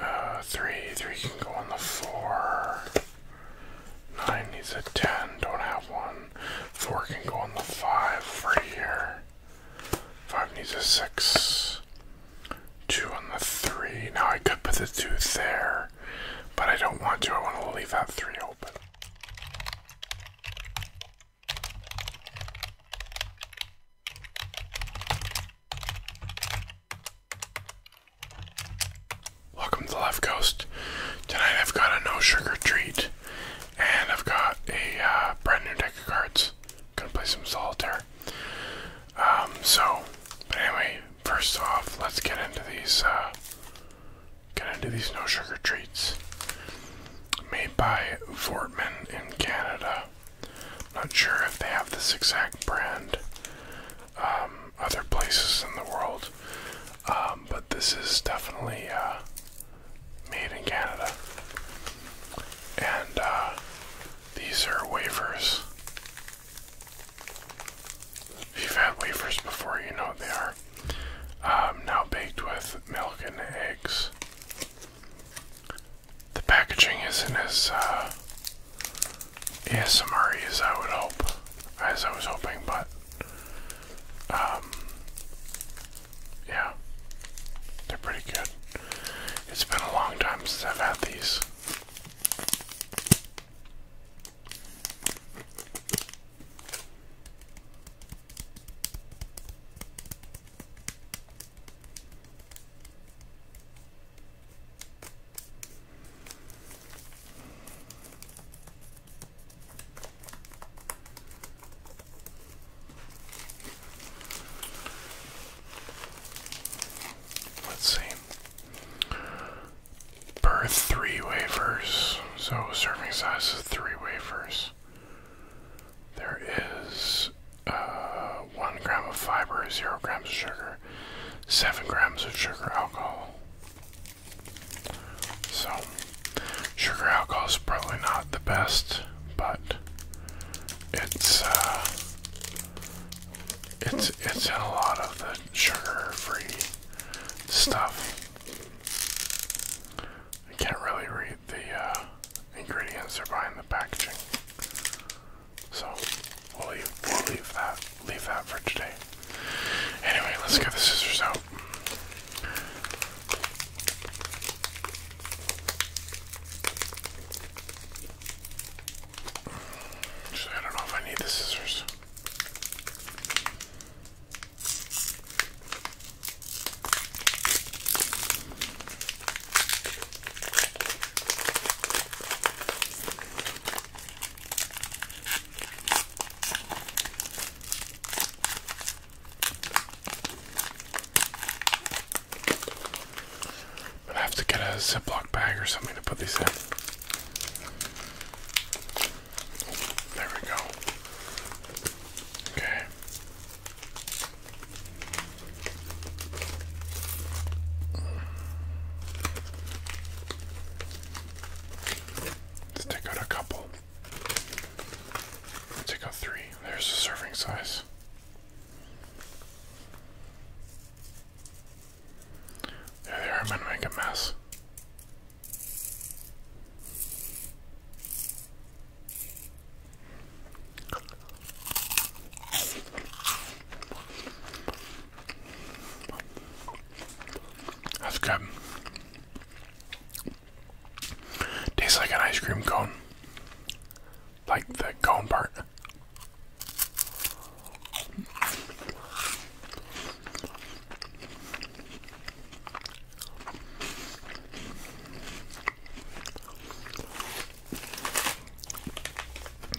Uh, three, three can go on the four. Nine needs a ten, don't have one. Four can go on the five for here. Five needs a six. Two on the three. Now I could put the two there, but I don't want to. I want to leave that three open. Welcome to the Left Coast. Tonight I've got a no sugar treat, and I've got a uh, brand new deck of cards. Gonna play some solitaire. Um, so, but anyway, first off, let's get into these. Uh, get into these no sugar treats made by Fortman in Canada. Not sure if they have this exact brand um, other places in the world, um, but this is definitely uh, made in Canada. And uh, these are wafers. If you've had wafers before, you know what they are. Um, now baked with milk and eggs. The packaging isn't as uh, ASMR as I would hope, as I was hoping, but um, yeah, they're pretty good. It's been a long time since I've had these. Let's see. Per three wafers, so serving size three wafers. There is uh, 1 gram of fiber, 0 grams of sugar, 7 grams of sugar alcohol. So, sugar alcohol is probably not the best, but it's uh, it's it's in a lot of the sugar-free stuff. I can't really read the uh, ingredients are behind the packaging. So we'll leave, that leave that for today. Anyway, let's get the scissors out. Actually, I don't know if I need the scissors. I'll have to get a Ziploc bag or something to put these in. There we go. Okay. Let's take out a couple. Let's take out three. There's the serving size. There they I'm gonna make a mess. That's good. Tastes like an ice cream cone. Like the cone part.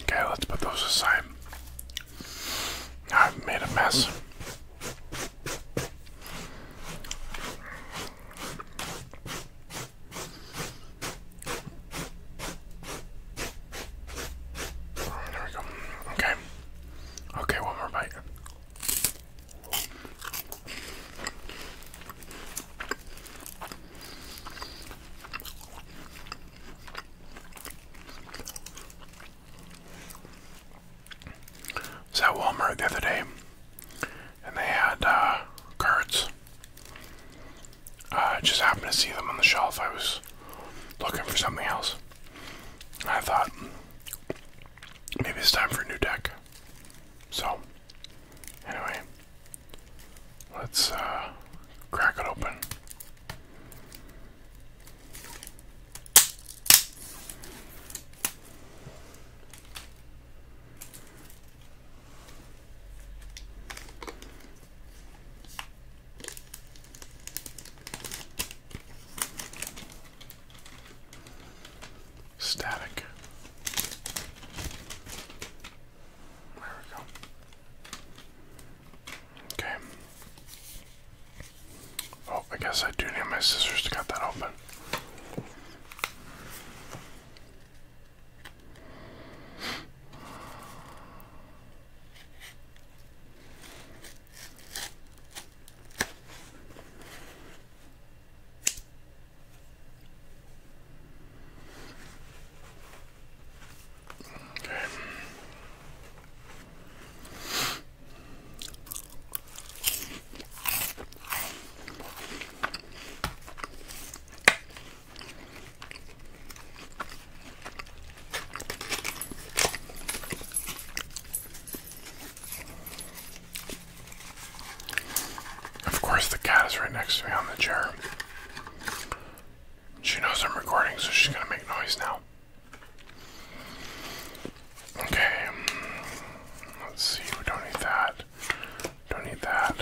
Okay, let's put those aside. I've made a mess. There we go. Okay. Okay, one more bite was at Walmart the other day, and they had uh, cards. I uh, just happened to see them on the shelf. I was looking for something else. I thought maybe it's time for a new deck. So, anyway. Let's uh, crack it open. Static. There we go. Okay. Oh, I guess I do need my scissors to cut that open. Of course, the cat is right next to me on the chair. She knows I'm recording, so she's gonna make noise now. Okay, um, let's see. We don't need that. Don't need that.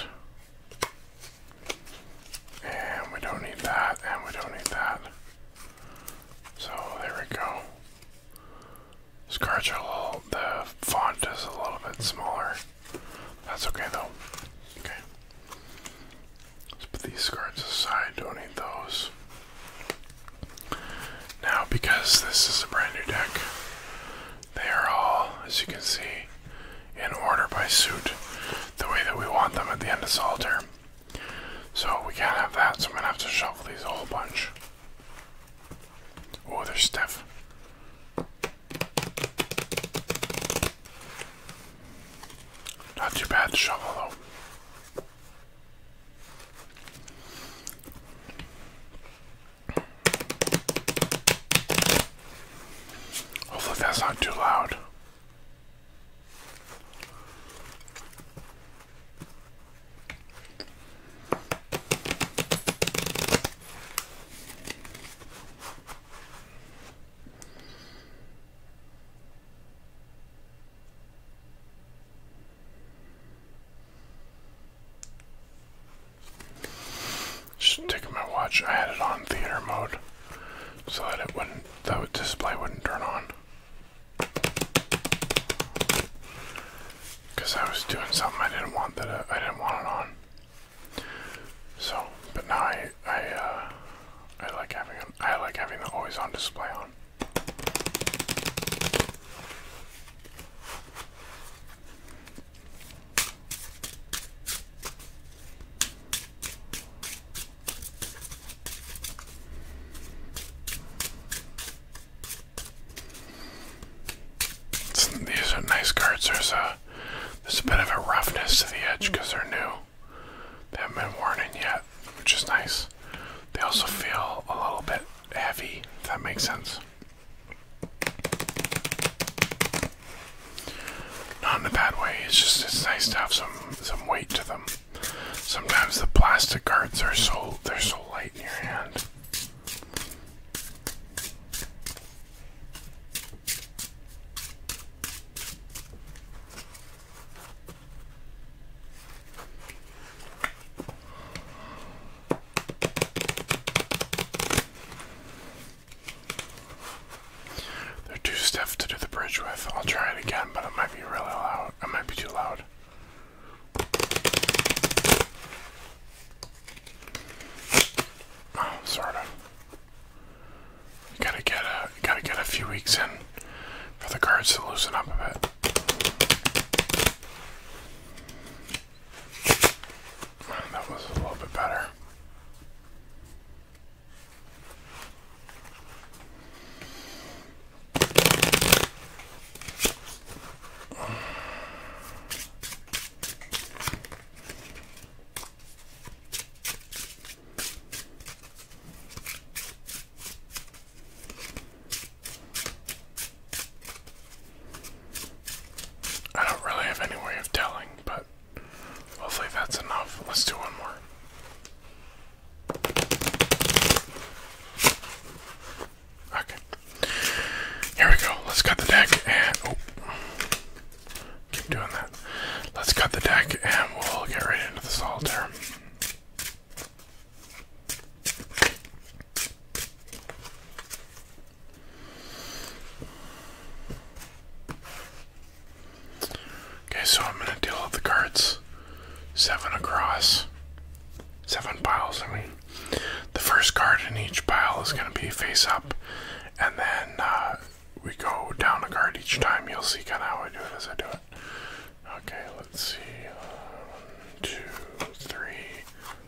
And we don't need that. And we don't need that. So there we go. Scarch the font is a little bit smaller. That's okay though. Okay. Let's put these cards aside. Don't need those. Now, because this is a brand new deck, they are all, as you can see, in order by suit, the way that we want them at the end of Solitaire. So we can't have that, so I'm gonna have to shuffle these a whole bunch. Oh, there's stuff. Not too bad to shovel though. Hopefully oh, that's not too loud. Just taking my watch, I had it on theater mode so that it wouldn't, that display wouldn't turn on. Because I was doing something I didn't want that I didn't want it on. So, but now I I uh, I like having I like having the always on display on. these are nice cards. There's there's a bit of a roughness to the edge because they're new. They haven't been worn in yet, which is nice. They also feel a little bit heavy, if that makes sense. Not in a bad way, it's just it's nice to have some some weight to them. Sometimes the plastic guards are so they're so light in your hand. There are two steps to do the bridge with. I'll try it again, but it might be really loud. It might be too loud. Oh, sort of. Gotta get a gotta get a few weeks in for the guards to loosen up a bit. That was a little bit better. I don't really have any way of telling, but hopefully that's enough. Let's do one more. Okay. Here we go. Let's cut the deck oh. Keep doing that. Let's cut the deck and we'll get right into the solitaire. Okay, so I'm gonna deal with the cards. Seven across. Seven piles, I mean. The first card in each pile is gonna be face up, and then uh, we go down a card each time, you'll see kind of how I do it as I do it. Okay, let's see. One, two, three,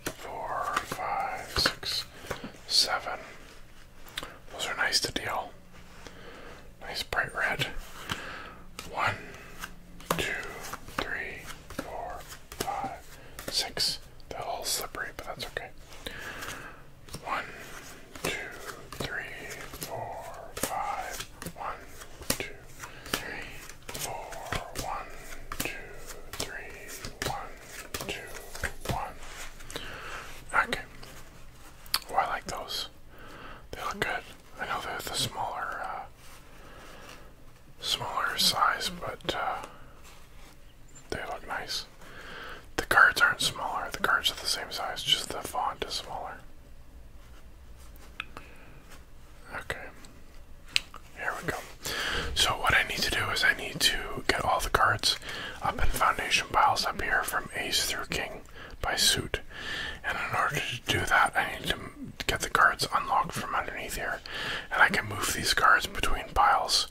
four, five, six, seven. Those are nice to deal. Nice bright red. One, two, three, four, five, six. They're all slippery, but that's okay. One, two, three, four, five. One, two, three, four. One, two, three. One, two, one. Okay. Oh, I like those. They look good. I know they're the smaller, uh, smaller size, but uh, they look nice. The cards aren't smaller, the cards are the same size, just the font is smaller. Okay. Here we go. So what I need to do is I need to get all the cards up in foundation piles up here from ace through king by suit. And in order to do that, I need to get the cards unlocked from underneath here. And I can move these cards between piles.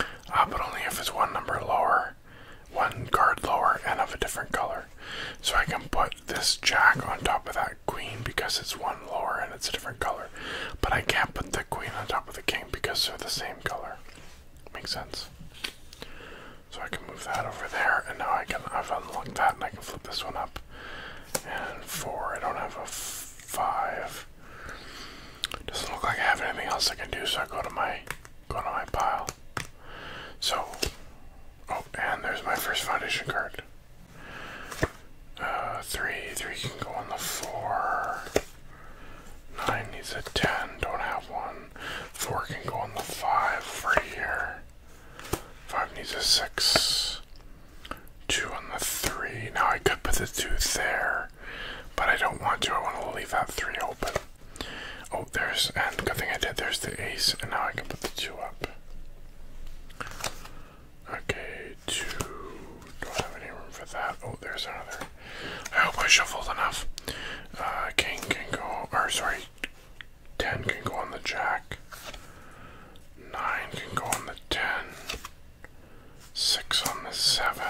Uh, but only if it's one number lower one card lower and of a different color. So I can put this jack on top of that queen because it's one lower and it's a different color. But I can't put the queen on top of the king because they're the same color. Makes sense. So I can move that over there and now I can I've unlocked that and I can flip this one up. And four, I don't have a five. Doesn't look like I have anything else I can do, so I go to my Going to my pile. So, oh, and there's my first foundation card. Uh, three, three can go on the four. Nine needs a ten, don't have one. Four can go on the five for here. Five needs a six. Two on the three. Now I could put the two there. But I don't want to. I want to leave that three open. Oh, there's, and good thing I did, there's the ace, and now I can put the two up. Okay, two. Don't have any room for that. Oh, there's another. I hope I shuffled enough. Uh, king can go, or sorry, 10 can go on the jack. 9 can go on the 10. 6 on the 7.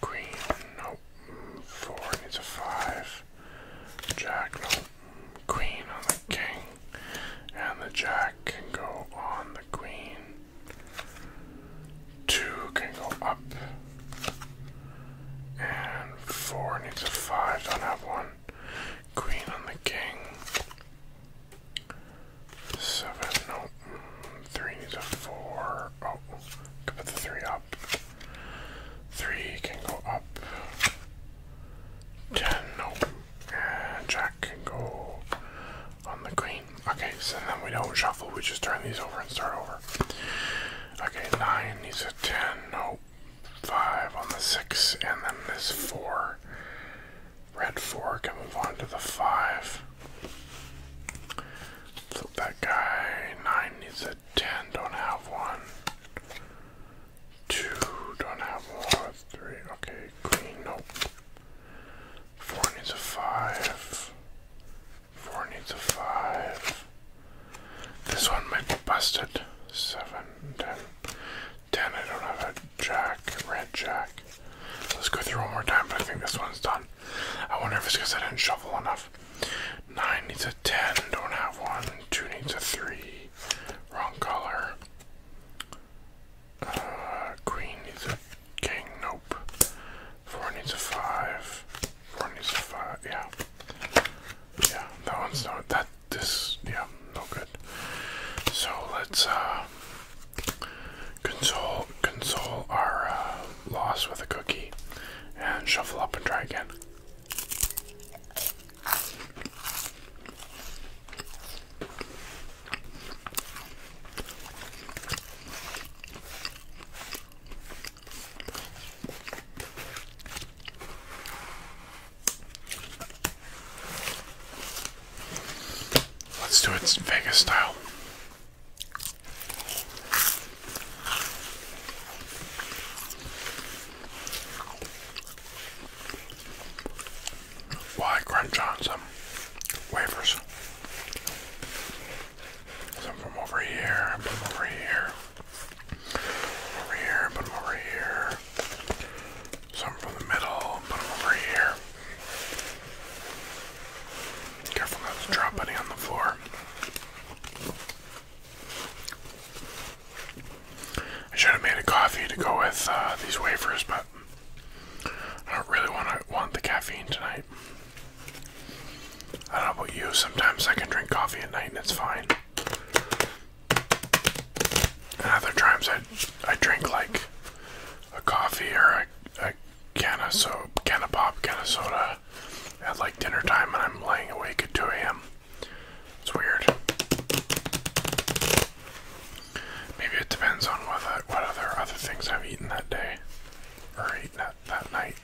Queen, nope. Four needs a five. Jack, nope. Queen on the king. And the jack can go on the queen. Two can go up. And four needs a five. Don't have one. Queen on the king. Seven, nope. Mm, three needs a four. Oh, can put the three up. Three can go up. Ten, nope. Jack can go on the queen. Okay, so then we don't shuffle, we just turn these over and start over. Okay, nine needs a ten, nope. Five on the six, and then this four. Red four can move on to the five. Flip that guy. Nine needs a ten. Don't have one. Two. Don't have one. Three. Okay. Green. Nope. Four needs a five. Four needs a five. This one might be busted. Seven. Ten. Ten. I don't have a jack. Red jack. Let's go through one more time, but I think this one's done. I wonder if it's because I didn't shuffle enough. 9 needs a 10, don't have one. 2 needs a 3, wrong color. Uh, green queen needs a king, nope. 4 needs a 5. 4 needs a 5, yeah. Yeah, that one's no, that, this, yeah, no good. So let's, uh, Console, console our uh, loss with a cookie, and shuffle up and try again. Let's do it Vegas style. Why crunch on some wafers? Some from over here, put them over here. Over here, put them over here. Some from the middle, put them over here. Careful not to drop any on the floor. I should have made a coffee to go with uh, these wafers, but I don't really want to want the caffeine tonight. I don't know about you. Sometimes I can drink coffee at night and it's fine. And other times I I drink like a coffee or a, a can of soap, can of pop, can of soda at like dinner time, and I'm laying awake at 2 a.m. It's weird. Maybe it depends on what uh, what other other things I've eaten that day or eaten that that night.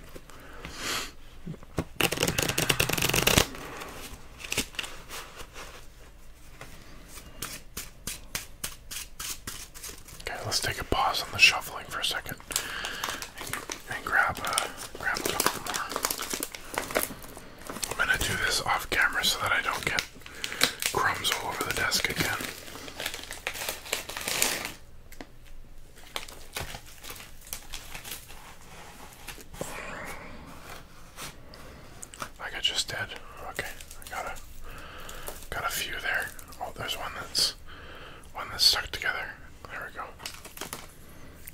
Okay, let's take a pause on the shuffling for a second and, grab a grab a couple more. I'm gonna do this off camera so that I don't get crumbs all over the desk again. I got just dead. Okay, I got a got a few there. Oh, there's one that's one that's stuck together. There we go.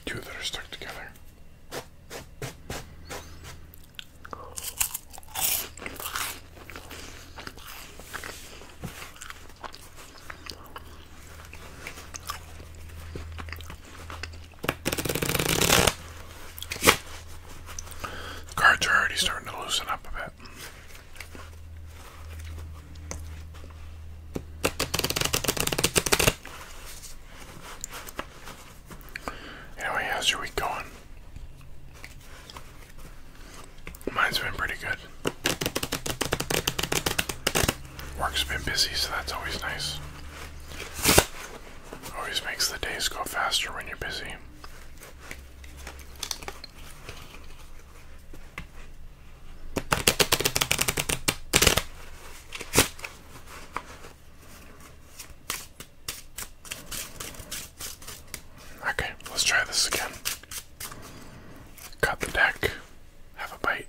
Two that are stuck together. cards are already starting to loosen up a bit. Anyway, how's your week going? Mine's been pretty good. Work's been busy, so that's always nice. Always makes the days go faster when you're busy. Okay, let's try this again. Cut the deck, have a bite.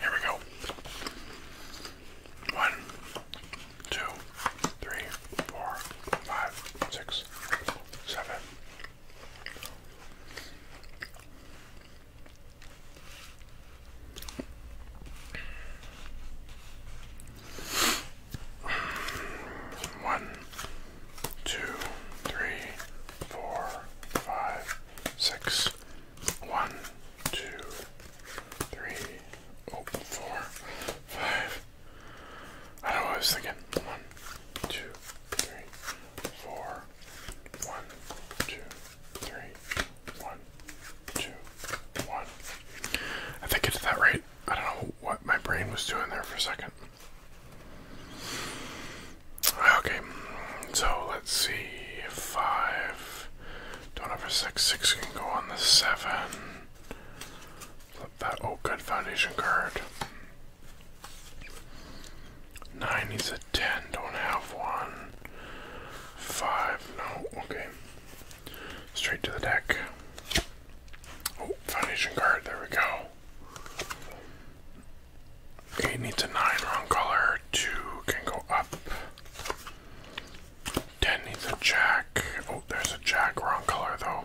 Here we go. One, two, three, four, five, six, seven. One, two, three, four, five, six. One, two, three, oh, four, five, I don't know what I was thinking. One, two, three, four. One, two, three, one, two, one. I think it's that right. I don't know what my brain was doing there for a second. Okay, so let's see. Five. Don't have a six. Six can go on the seven. Flip that. Oh, good foundation card. Nine needs a ten. Don't have one. Five. No. Okay. Straight to the deck. Oh, foundation card. There we go. Eight needs a nine. Wrong color. Two can go up. Ten needs a jack. Oh, there's a jack. Wrong color, though.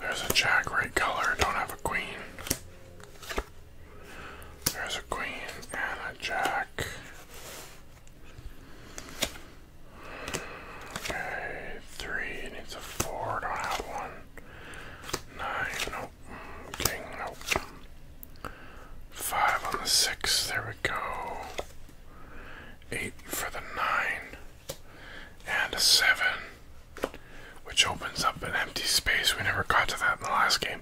There's a jack, right color. Don't have a queen. There's a queen and a jack. Okay, three needs a four. Don't have one. Nine, nope. King, nope. Five on the six. There we go eight for the nine, and a seven, which opens up an empty space. We never got to that in the last game,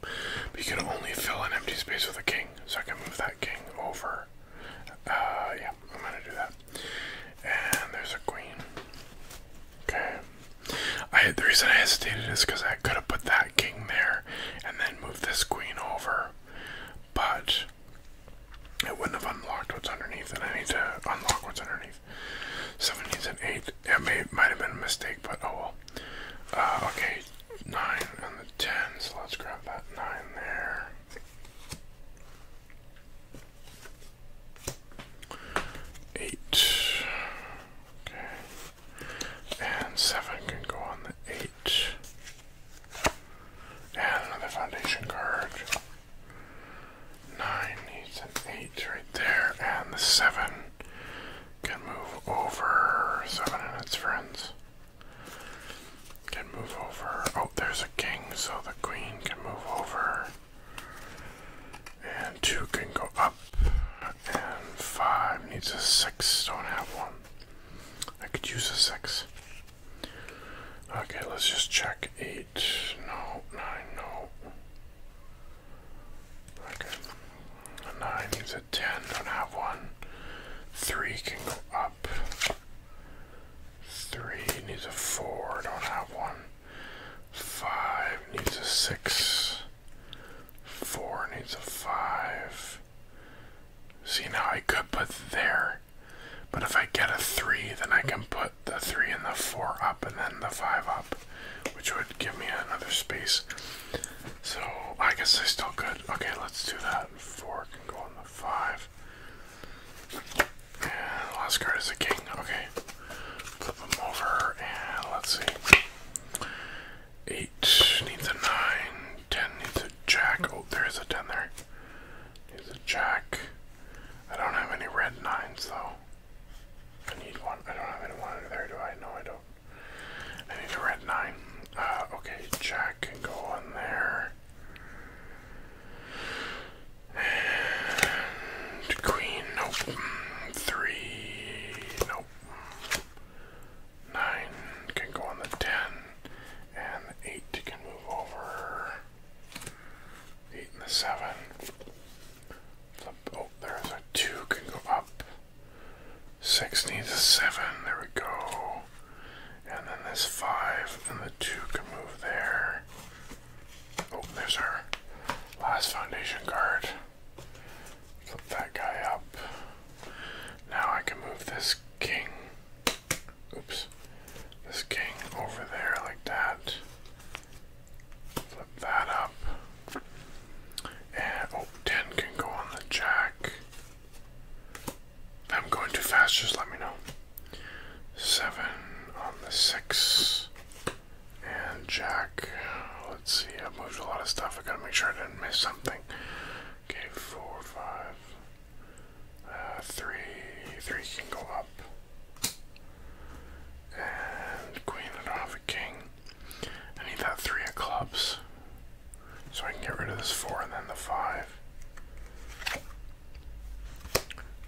but you can only fill an empty space with a king. So I can move that king over. Uh, yeah, I'm gonna do that. And there's a queen. Okay. I the reason I hesitated is because I could have put that king there and then moved this queen over, but it wouldn't have unlocked what's underneath, and I need to unlock what's underneath. Seven needs an eight. It may might have been a mistake, but oh well. Uh, okay, nine and the ten. So let's grab that nine there. Eight. Okay. And seven can go on the eight eight. And another foundation card. Nine needs an eight right there, and the seven can move over. Seven and its friends can move over. Oh, there's a king, so the queen can move over. And two can go up. And five needs a six. Don't have one. I could use a six. Okay, let's just check eight. No, nine, no. Okay. nine needs a ten, don't have one. Three can go up. Three needs a four, don't have one. Five needs a six. Four needs a five. See, now I could put there but if I get a 3, then I can put the 3 and the 4 up and then the 5 up, which would give me another space. So I guess I still could. Okay, let's do that. 4 can go on the 5. And the last card is a king. Okay. Flip them over and let's see. 8 needs a 9. 10 needs a jack. Oh, there is a 10 there. He's a jack. I don't have any red nines though. I need one. I don't have any one there, do I? No, I don't. I need a red nine. Uh, okay, jack can go on there. queen, nope. Three, nope. Nine can go on the ten and the eight can move over. Eight and the seven. Oh, there's a two can go up. Six needs a seven. There we go. And then this five and the two can move there. Oh, there's our last foundation card. Flip that guy up. Now I can move this king oops, this king over there like that. Flip that up. And, oh, can go on the jack. I'm going too fast, just let me know. 7 on the 6. And jack. Let's see, I moved a lot of stuff. I gotta make sure I didn't miss something. Okay, 4, 5. Uh, three, three can go up. And queen, I do a king. I need that three of clubs. So I can get rid of this four and then the five.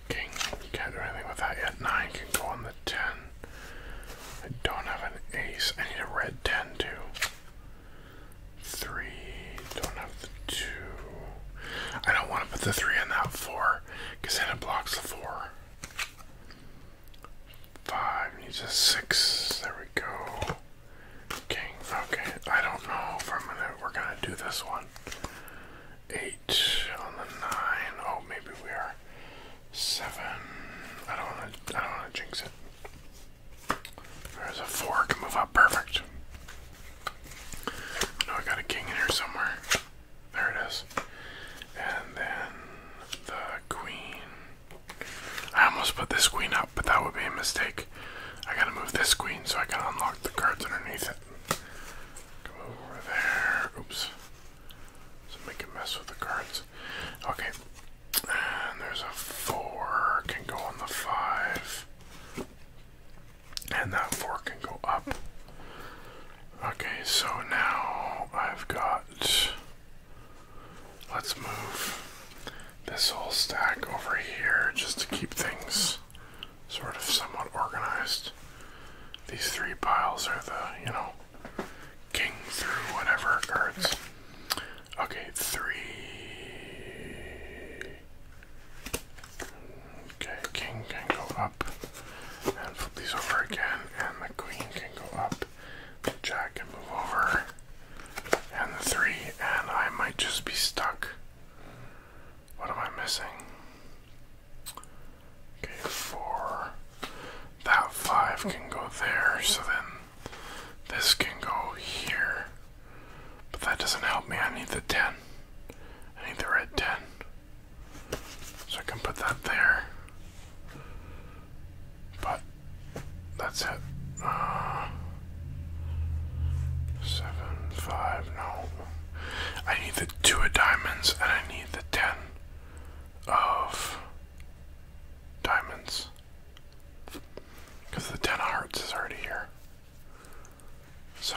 King, can't do anything with that yet. Nine can go on the ten. I don't have an ace. I need a red ten too. Three. Don't have the two. I don't want to put the three in that four because then it blocks the four. Five needs a six. There we go. King. Okay. I don't know if I'm gonna. We're gonna do this one. Eight on the nine. Oh, maybe we are. Seven. I don't want to. I don't want to jinx it. There's a four, can move up perfect. I know I got a king in here somewhere. There it is. And then the queen. I almost put this queen up, but that would be a mistake. I gotta move this queen so I can unlock the cards underneath it. Go over there. Oops. So make a mess with the cards. Okay. And there's a four. Can go on the five. And that fork can go up. Okay, so now I've got. Let's move this whole stack over here just to keep things sort of somewhat organized. These three piles are the, you know, king through whatever cards. Okay, three. Okay, king can go up and flip these over again, and the queen can go up, the jack can move over, and the three, and I might just be stuck. What am I missing? Okay, four. That five can go there, so then this can go here. But that doesn't help me. I need the 10. I need the red 10. So I can put that there. But that's it. Uh, 7, 5, no. I need the 2 of diamonds and I need the 10 of diamonds. Because the 10 of hearts is already here. So,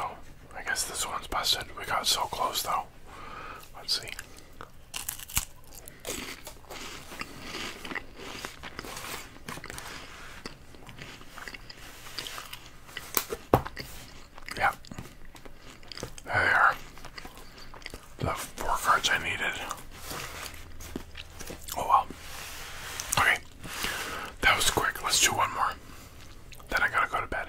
I guess this one's busted. We got so close though. Let's see. Yeah. There The four cards I needed. Oh well. Okay. That was quick. Let's do one more. Then I gotta go to bed.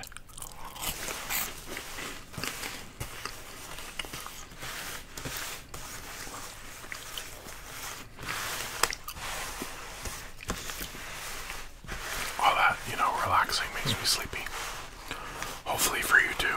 All that, you know, relaxing makes me sleepy. Hopefully, for you too.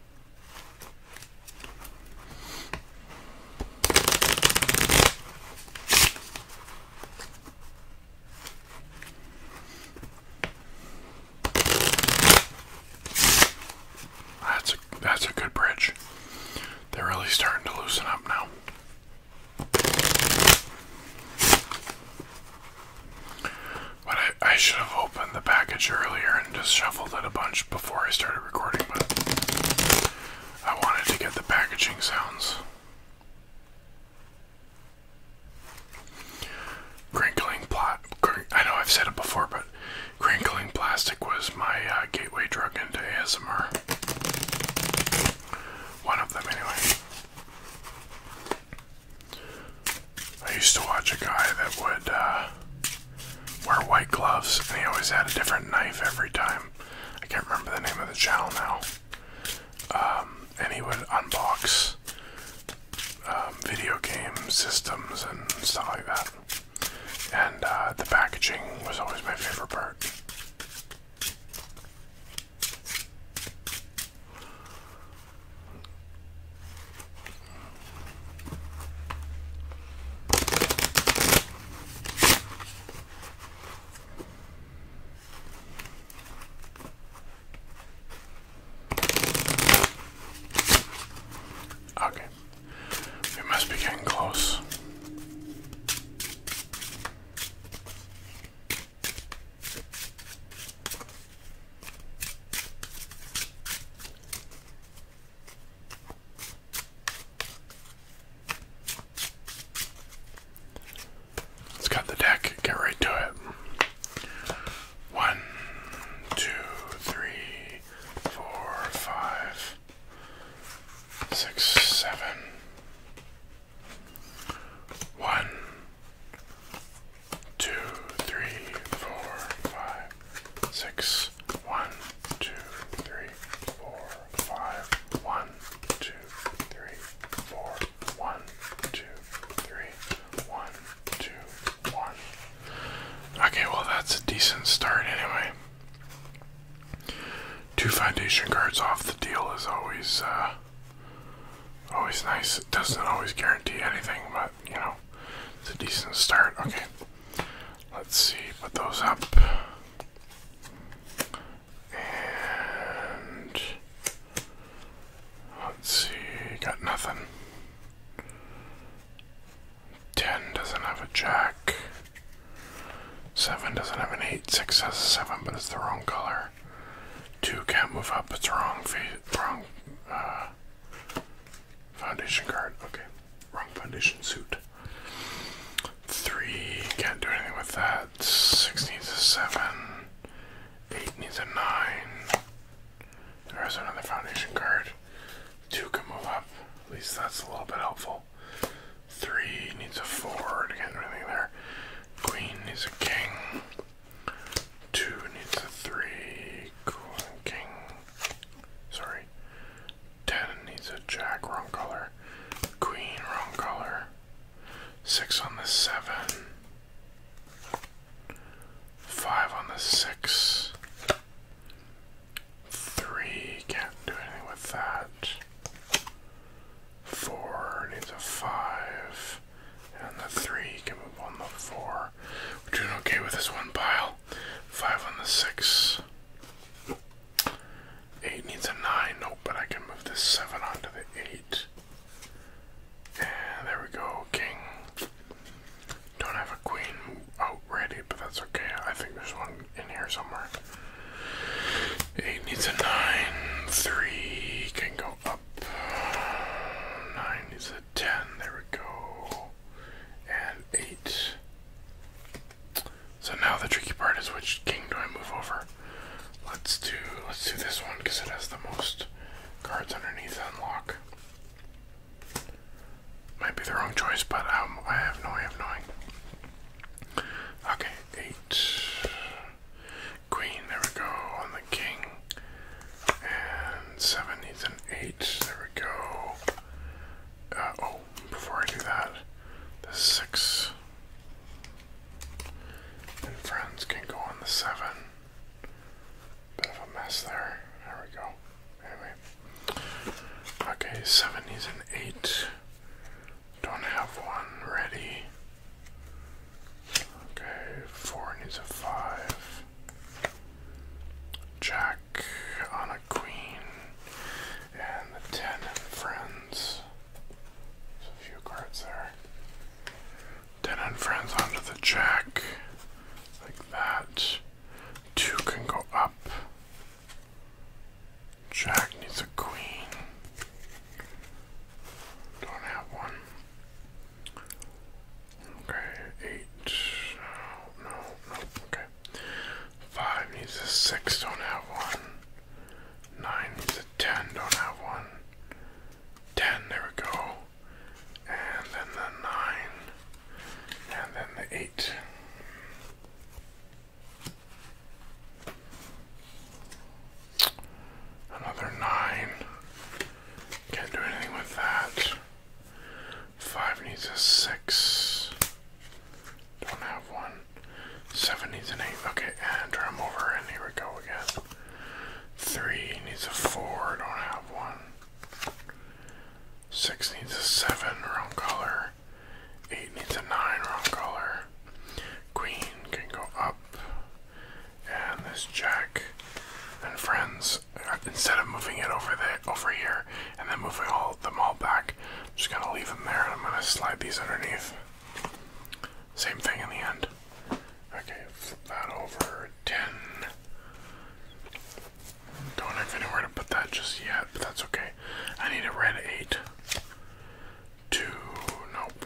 That's a that's a good bridge. They're really starting to loosen up now. But I, should have opened the package earlier and just shuffled it a bunch before I started recording, but I wanted to get the packaging sounds. Crinkling plot. I know I've said it before, but crinkling plastic was my uh, gateway drug into ASMR. One of them, anyway. I used to watch a guy that would uh, wear white gloves, and he always had a different knife every time. I can't remember the name of the channel now. Um, and he would unbox um, video game systems and stuff like that. And uh, the packaging was always my favorite part. Okay, we must be getting close. Let's cut the deck, get right to it. One, two, three, four, five, six, seven. One, two, three, four, five, six, one, two, three, four, five, one, two, three, four, one, two, three, one, two, one. Okay, well that's a decent start anyway. Two foundation cards off the deal is always uh always nice. It doesn't always guarantee anything, but you know, it's a decent start. Okay, let's see, put those up. And let's see, got nothing. 10 doesn't have a jack. 7 doesn't have an 8. 6 has a 7, but it's the wrong color. 2 can't move up, it's wrong, wrong uh, Foundation card. Okay. Wrong foundation suit. Three. Can't do anything with that. Six needs a seven. Eight needs a nine. There's another foundation card. Two can move up. At least that's a little bit helpful. Three needs a four to get anything there. Queen needs a king. Two needs a three. king. Sorry. Ten needs a jack. Wrong color. Queen. Wrong color. Six on the seven. Five on the six. Three. Can't do anything with that. Four needs a five. And the three can move on the four. We're doing okay with this one pile. Five on the six. Eight needs a nine. Nope, but I can move this seven onto the eight. And there we go. King. Don't have a queen out ready, but that's okay. I think there's one in here somewhere. Eight needs a nine. Three can go up. Nine needs a 10, there we go, and 8. So now the tricky part is which king do I move over? Let's do, let's do this one because it has the most cards underneath unlock. Might be the wrong choice, but um, I have no way of knowing. Okay, 8. Queen, there we go, on the king. And seven needs an eight. There we go. Uh, oh, before I do that, the six and friends can go on the seven. Bit of a mess there. There we go. Anyway. Okay, seven needs an eight. Don't have one ready. Okay, four needs a five. Jack on a queen, and the ten and friends. a few cards there. Ten and friends onto the jack, like that. Two can go up. Jack needs a queen. Don't have one. Okay, eight. No, no, no. Okay. Five needs a six, don't have one. Nine needs a ten, don't have one. Ten, there we go. And then the nine. And then the eight. Another nine. Can't do anything with that. Five needs a six. Don't have one. Seven needs an eight. Okay, and am over, and here we go again. Three needs a four. Don't have one. Six needs a seven. Wrong color. Eight needs a nine. Wrong color. Queen can go up. And this jack. And friends, instead of moving it over there, over here, and then moving all them all back. I'm just gonna leave them there, and I'm gonna slide these underneath. Same thing in the end. Okay, flip that over. Ten. Don't have anywhere to put that just yet, but that's okay. I need a red eight. Two. Nope.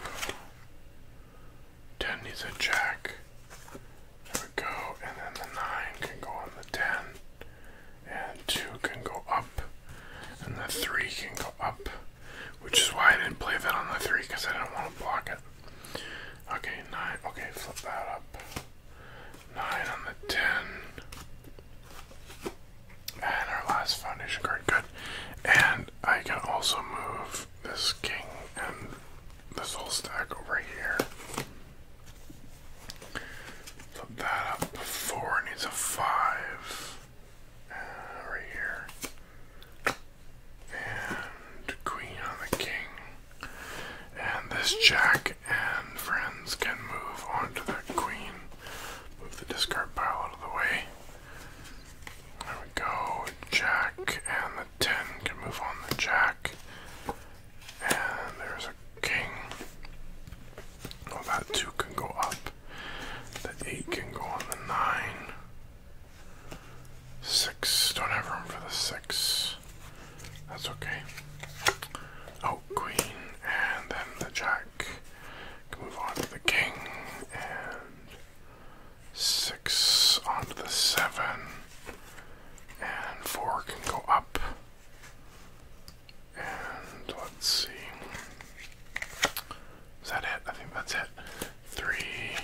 10 needs a jack. There we go. And then the 9 can go on the 10. And 2 can go up. And the 3 can go up. Which is why I didn't play that on the 3 because I didn't want to block it. Okay, 9. Okay, flip that up. 9 on the 10. And our last foundation card. Good. And I can also move this king and this whole stack over here. Put that up before needs a five. right here. And queen on the king. And this jack and friends can move on the queen. Move the discard pile out of the way. There we go. Jack and the 10 can move on the jack. And there's a king. Well, that two can go up. The eight can go on the nine. Six. Don't have room for the six. That's okay. Oh, queen. And then the jack. Can move on to the king. And six onto the seven and four can go up. And let's see. Is that it? I think that's it. Three.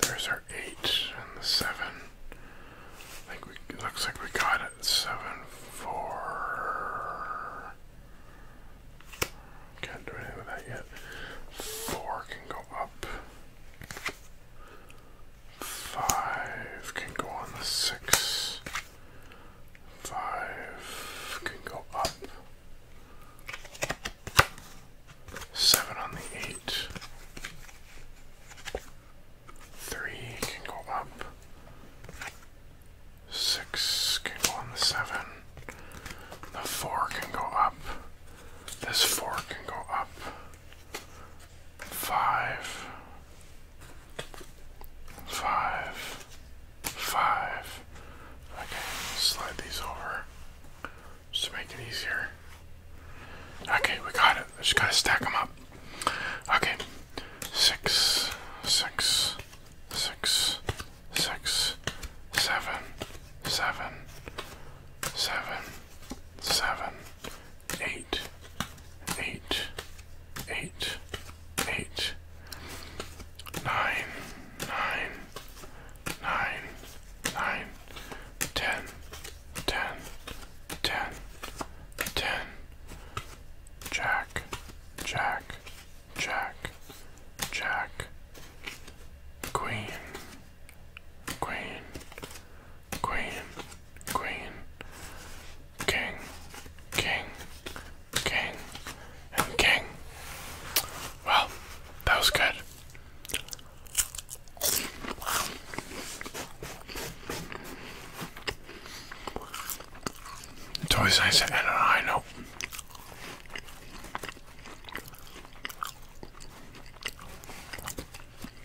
There's our eight and the seven. I think we looks like we got it. Seven, four. Can't do anything with that yet. Four can go up. Five can go on the six. Five can go up. Seven on the eight. Three can go up. Six can go on the seven. The four can go up. This four can go up five, five, five. Okay, slide these over just to make it easier. Okay, we got it. I just gotta stack them up. Okay, six, six, six, six, seven, seven, seven, seven, eight, eight, eight, eight, nine, nine, nine, nine, ten, ten, ten, ten, jack, jack, jack, jack, queen, queen, queen, queen, king, king, king, and king. Well, that was good. It's always nice to end on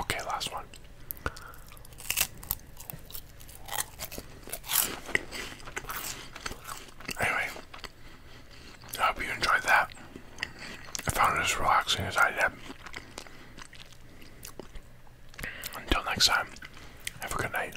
Okay, last one. Anyway, I hope you enjoyed that. I found it as relaxing as I did. Until next time, have a good night.